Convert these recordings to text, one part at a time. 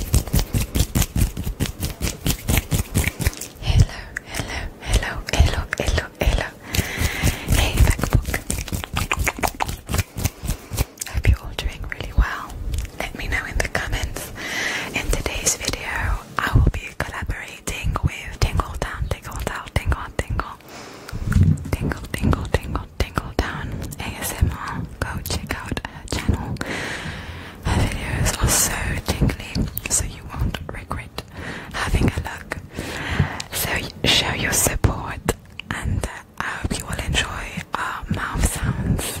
Hello, hello, hello, hello, hello, hello. Hey, MacBook. Hope you're doing really well. Let me know in the comments. In today's video, I will be collaborating with Tingle Down, Tingle Down, Tingle, Tingle, Tingle, Tingle, Tingle, Tingle Down ASMR. Go check out her channel. Her videos are so tingly, so you won't regret having a look. So show your support, and uh, I hope you will enjoy our mouth sounds.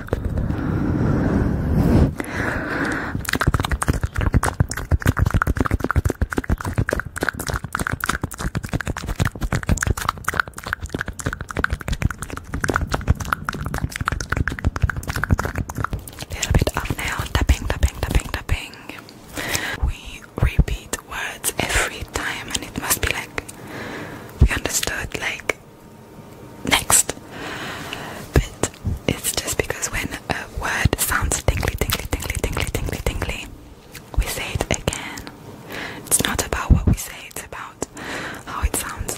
Little bit of nail tapping, tapping, tapping, tapping. We repeat words every time, and it must be like we understood, like next. But it's just because when a word sounds tingly, tingly, tingly, tingly, tingly, tingly, we say it again. It's not about what we say, it's about how it sounds.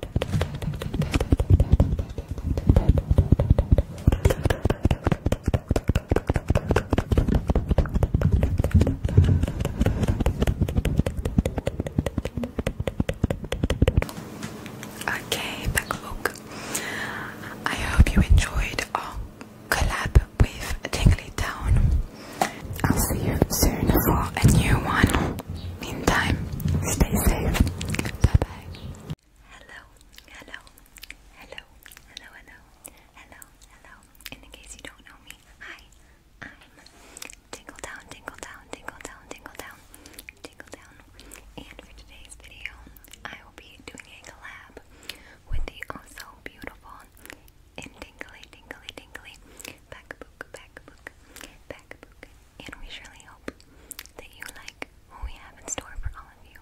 Okay, backbook. I hope you enjoyed our collab with Tingly Town. I'll see you soon for a new one. Meantime, stay safe. Bye bye. Hello, hello, hello, hello, hello, hello, hello. And in case you don't know me, hi, I'm Tingle Down, Tingle Down, Tingle And for today's video, I will be doing a collab with the oh beautiful and tingly, tingly, tingly back book, back and we surely hope that you like what we have in store for all of you.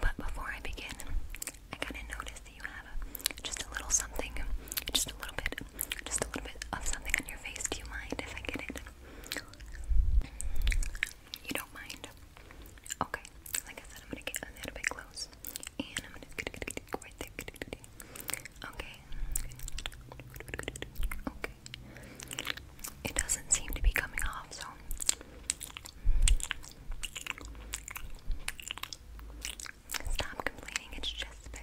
But before I begin, I kind of noticed that you have just a little something, just a little bit, just a little bit of something on your face. Do you mind if I get it? You don't mind? Okay. Like I said, I'm gonna get a little bit close. And I'm gonna get right there. Okay. Okay. It doesn't seem to be coming off, so stop complaining, it's just a bit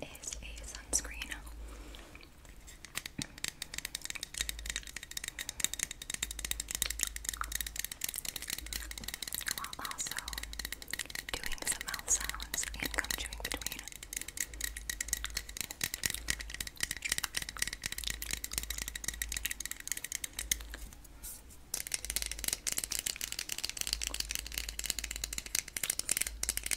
is a sunscreen. While also doing some mouth sounds and gum chewing between. I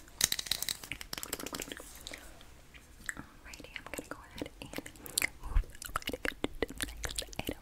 Alrighty, I'm gonna go ahead and move on to the next item.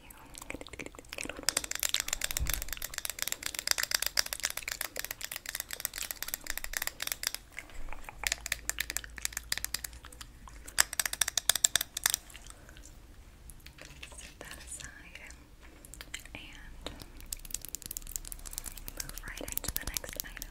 with you. Set that aside and move right into the next item.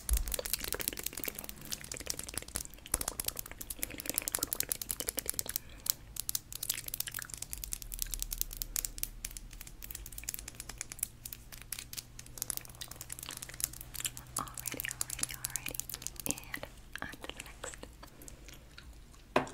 Alrighty, alrighty, alrighty. And on to the next. Alright.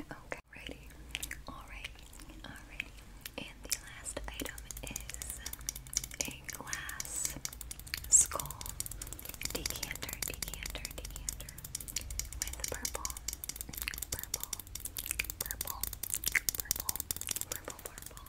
Okay, ready. Alright, alright. And the last item is a glass skull decanter, decanter, decanter with purple, purple, purple, purple, purple, purple.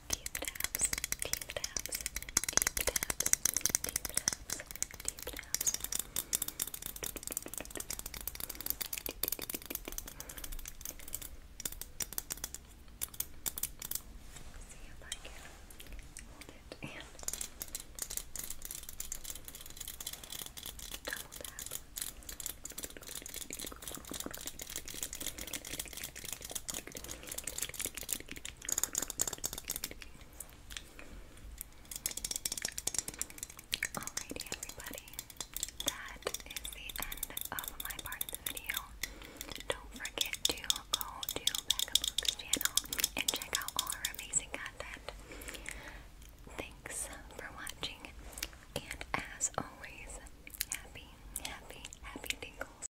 deep taps, deep taps, deep taps, deep taps, deep taps. See if I can hold it and double tap. Alrighty, everybody. That is the end of my part of the video. Don't forget to go to Becca channel and check out all her amazing content. Thanks for watching, and as always, happy, happy, happy tingles.